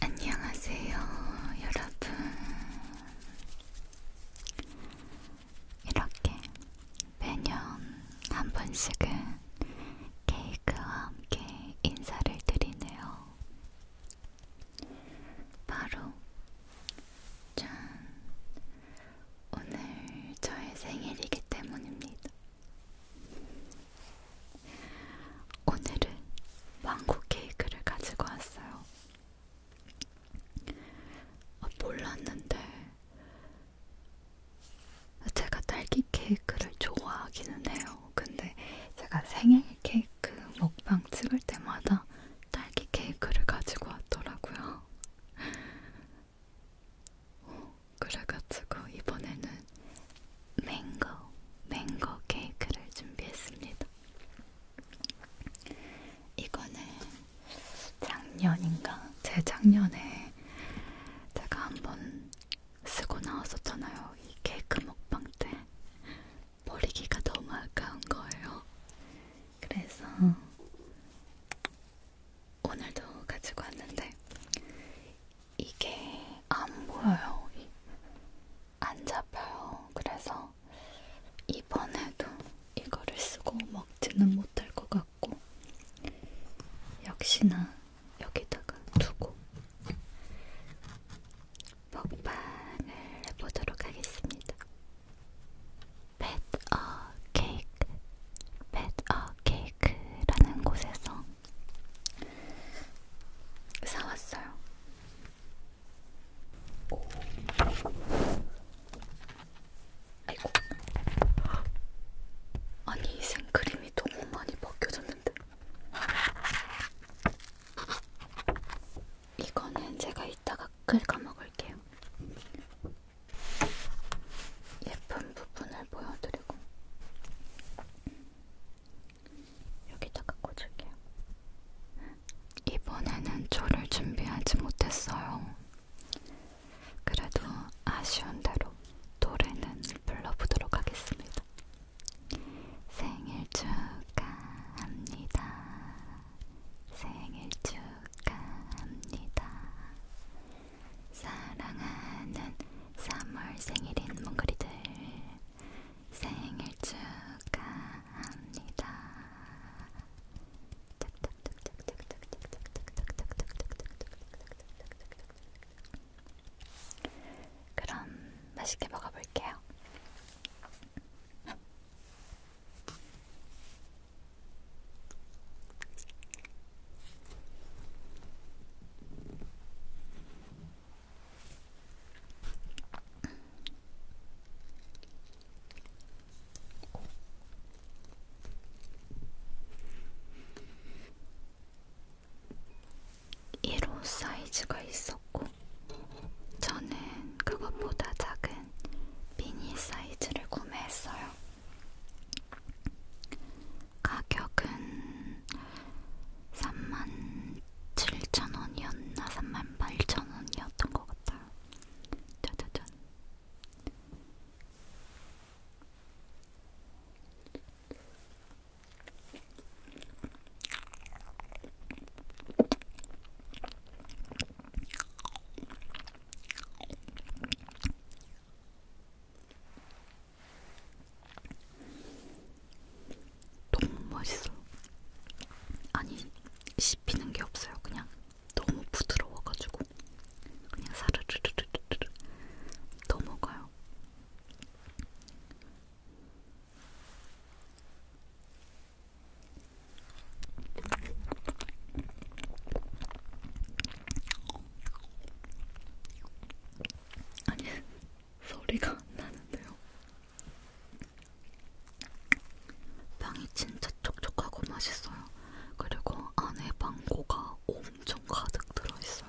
안녕하세요, 여러분. 이렇게 매년 한 번씩은 케이크와 함께 인사를 드리네요. 바로 짠! 오늘 저의 생일이기 때문입니다. 오늘은 망고 케이크를 가지고 왔어요. 아, 몰랐는데 제가 딸기 케이크를 좋아하기는 해요. 근데 제가 생일 케이크 먹방 찍을 때마다 딸기 케이크를 가지고 왔더라고요. 어, 그래가지고 이번에는 맹고, 맹고 케이크를 준비했습니다. 이거는 작년인가? 재작년에 제가 한번 쓰고 나왔었잖아요. 이 케이크 먹방 때. 버리기가 너무 아까운 거예요. 그래서 오늘도 가지고 왔는데 이게 안 보여요. 안 잡혀요. 그래서 이번에도 이거를 쓰고 먹지는 못할 것 같고 역시나 여기다가 두고 먹방을 해보도록 하겠습니다. 펫어케이크, 펫어케이크라는 곳에서 사왔어요. 아이고. 아니, 생크림이 너무 많이 벗겨졌는데. 이거는 제가 이따가 긁어 먹을게요. 예쁜 부분을 보여드리고. 여기다가 꽂을게요. 이번에는 저를 준비하지 못했어요. 그래도 아쉬운 대로 노래는 불러보도록 하겠습니다. 생일 축하합니다. 생일 축하합니다. 사랑하는 3월 생일인 몽골이들 생일 축하합니다. 그럼 맛있게 먹어볼게요. 음. 1호 사이즈가 있었고, 저는 그것보다 작은 미니 사이즈를 구매했어요. 가격은 37,000원이었나 38,000원이었던 것 같아요. 짜자잔. 너무 맛있어. 아니 씹히는 게 없어요. 그냥 너무 부드러워가지고 그냥 사르르르르르 넘어가요. 아니 소리가 안 나는데요. 빵이 진짜 촉촉하고 맛있어요. 그리고 안에 망고가 엄청 가득 들어있어요.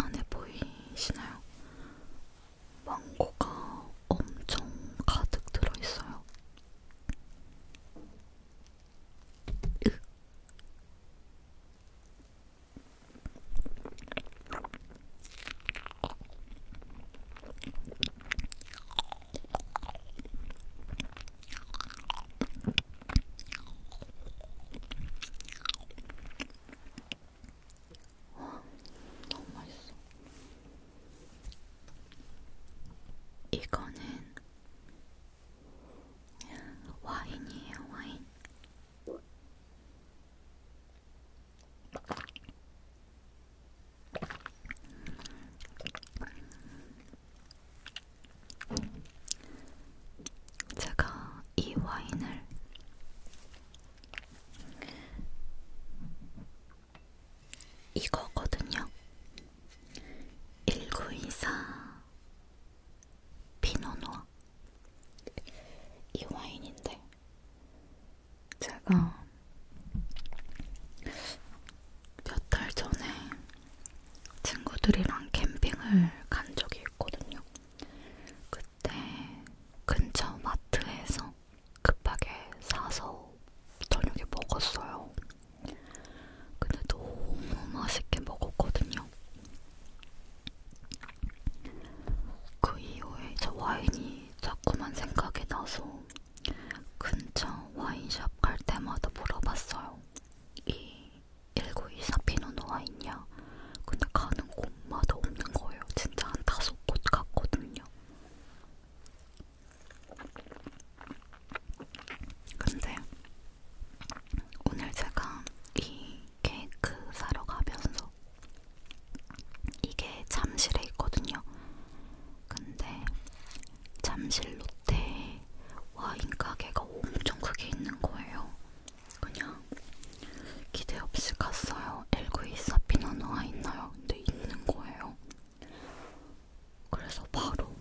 안에 보이시나요? 망고가 엄청 가득 들어있어요. 으. 와, 너무 맛있어. 이거는 와인이에요, 와인. 제가 이 와인을 이거거든요. 1924 피노누아 이 와인인데 제가 몇 달 전에 친구들이랑 캠핑을 간 적이 있거든요. 그때 근처 마트에서 급하게 사서 저녁에 먹었어요. 근데 너무 맛있게 먹었거든요. 그 이후에 저 와인이 자꾸만 생각이 나서 근처 와인샵 갈 때마다 물어봤어요. 이1924 피노노아 있냐? 근데 가는 곳마다 없는 거예요. 진짜 한 다섯 곳 갔거든요. 근데 오늘 제가 이 케이크 사러 가면서 이게 잠실에 있거든요. 근데 잠실 롯데에 와인 가게가 엄청 크게 있는 거예요. 그냥 기대 없이 갔어요. 1924 피노누아 있나요? 근데 있는 거예요. 그래서 바로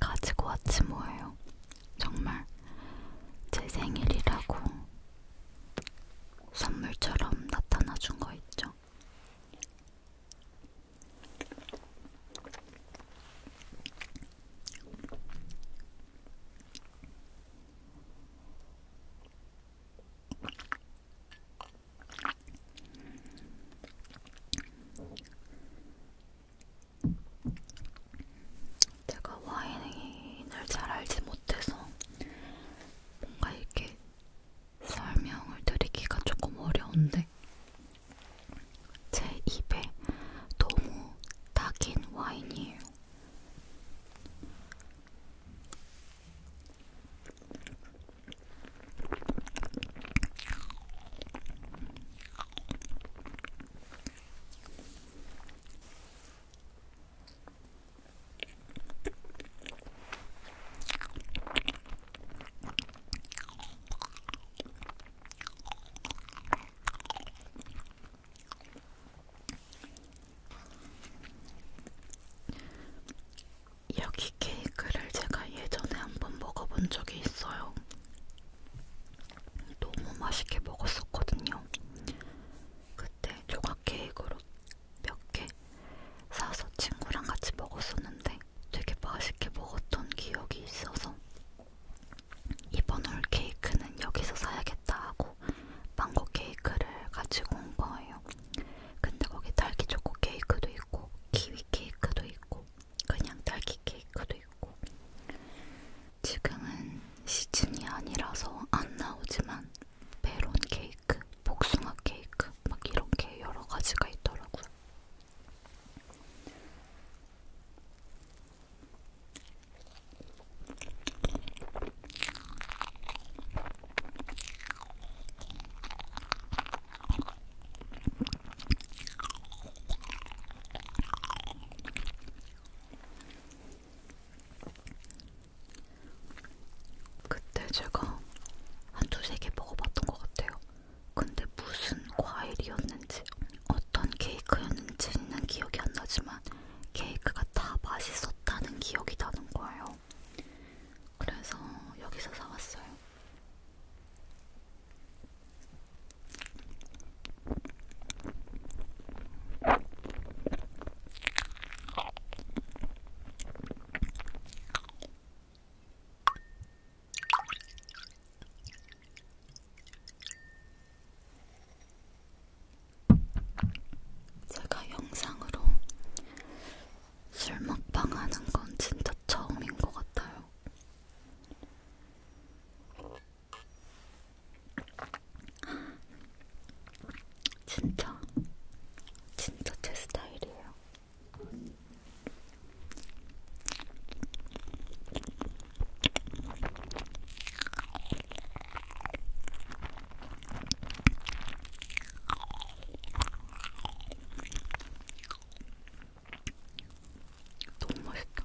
가지고 왔지 뭐예요. 정말 제 생일이라고 선물처럼 나타나 준 거 있죠. 제가 와인을 잘 알지 못해서 뭔가 이렇게 설명을 드리기가 조금 어려운데 제 입에 너무 딱인 와인이에요. 여기 케이크를 제가 예전에 한번 먹어본 적이 있어요. 너무 맛있게 먹었었거든요. 그때 조각 케이크로 몇개 사서 친구랑 같이 먹었었는데 되게 맛있게 먹었던 기억이 있어서 이번 올 케이크는 여기서 사야겠다 하고 망고 케이크를 가지고 온 거예요. 근데 거기 딸기 초코 케이크도 있고 키위 케이크도 있고 그냥 딸기 케이크도 있고 지금은 시즌이 아니라서 안 나오지만 메론 케이크 케이크, 복숭아 케이크 막 이렇게 여러 가지가 있더라고요. 그때 제가 한 두 세 개 먹어봤던 것 같아요. 근데 무슨 과일이었는지 어떤 케이크였는지는 기억이 안 나지만 케이크가 다 맛있었다는 기억이 나는 거예요. 그래서 여기서 사왔어요. 제가 영상으로 술 먹방 하는 건 진짜 처음인 것 같아요. 진짜 진짜 제 스타일이에요. 너무 맛있다.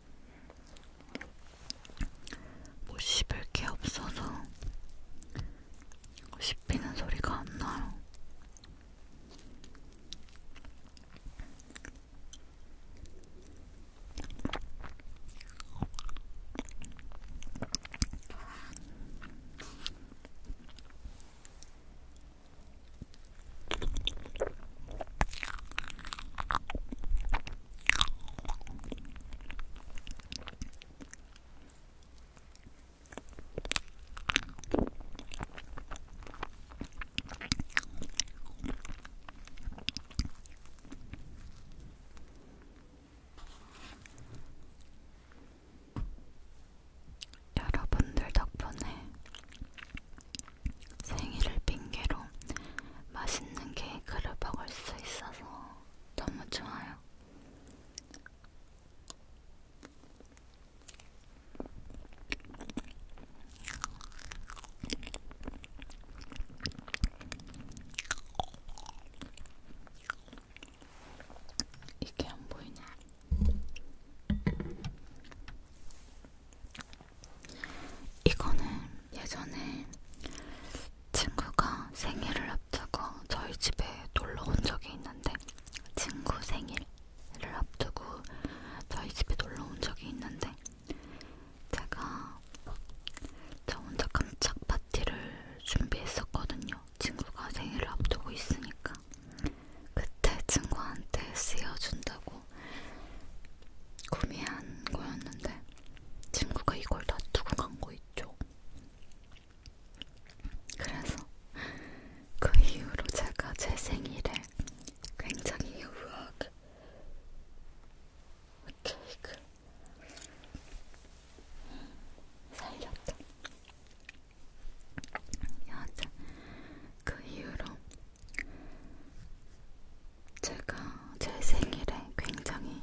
뭐 씹을 게 없어서 씹히는 소리가 안 나요. 여러분들 덕분에 생일을 핑계로 맛있는 케이크를 먹을 수 있어서 너무 좋아요. 이게 안 보이냐? 이거는 예전에 친구가 생일을 앞두고 저희 집에 놀러 온 적이 있는데 친구 생일을 앞두고 저희 집에 놀러 온 적이 있는데 제가 저 혼자 깜짝 파티를 준비했었거든요. 친구가 생일을 앞두고 있으니까 그때 친구한테 쓰여준다고 구매한 거였는데 친구가 이걸 다 두고 간 거 있죠. 그래서 그 이후로 제가 제 생일에 굉장히 우아하게 케이크를 그 살렸다. 여하튼 그 이후로 제가 제 생일에 굉장히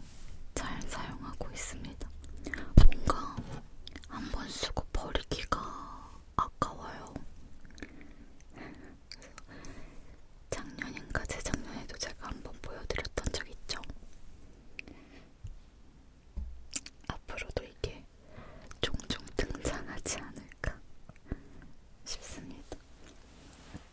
잘 사용하고 있습니다. 뭔가 한 번 쓰고 버리기가 아까워요. 작년인가 재작년에도 제가 한 번 보여드렸던 적 있죠. 앞으로도 이게 종종 등장하지 않을까 싶습니다.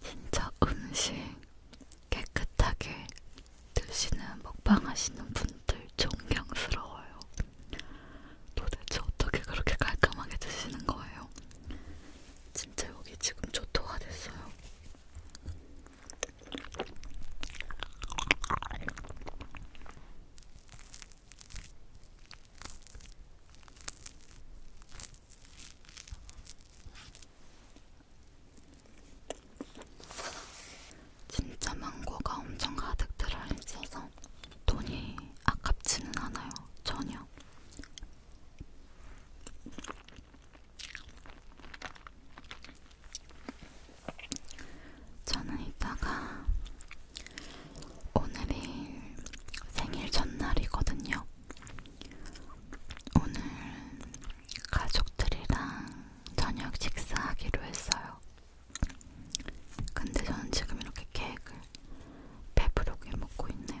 진짜 음식 깨끗하게 드시는 먹방 하시는 분들 존경스러워요. 도대체 어떻게 그렇게 깔끔하게 드시는 거예요? 진짜 여기 지금 초토화됐어요. 진짜 망고가 엄청 가득 들어있어서 돈이 아깝지는 않아요. 전혀. 저는 이따가 오늘이 생일 전날이거든요. 오늘 가족들이랑 저녁 식사하기로 했어요. 근데 저는 지금 이렇게 케이크를 배부르게 먹고 있네요.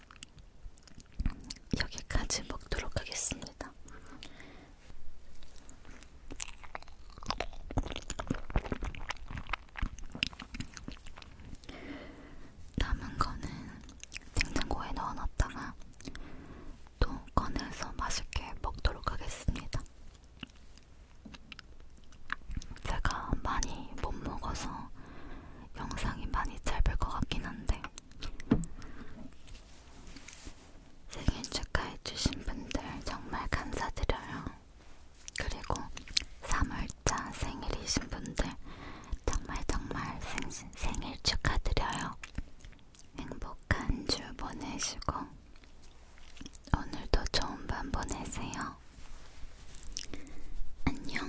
여기까지 먹도록 하겠습니다. 남은 거는 냉장고에 넣어놨다가 또 꺼내서 맛있게 먹도록 하겠습니다. 제가 많이 못 먹어서 영상이 많이 짧을 것 같긴 한데 생일 축하해주신 분들 정말 감사드려요. 그리고 3월자 생일이신 분들 정말 정말 생, 생일 축하드려요. 행복한 주 보내시고 오늘도 좋은 밤 보내세요. 안녕.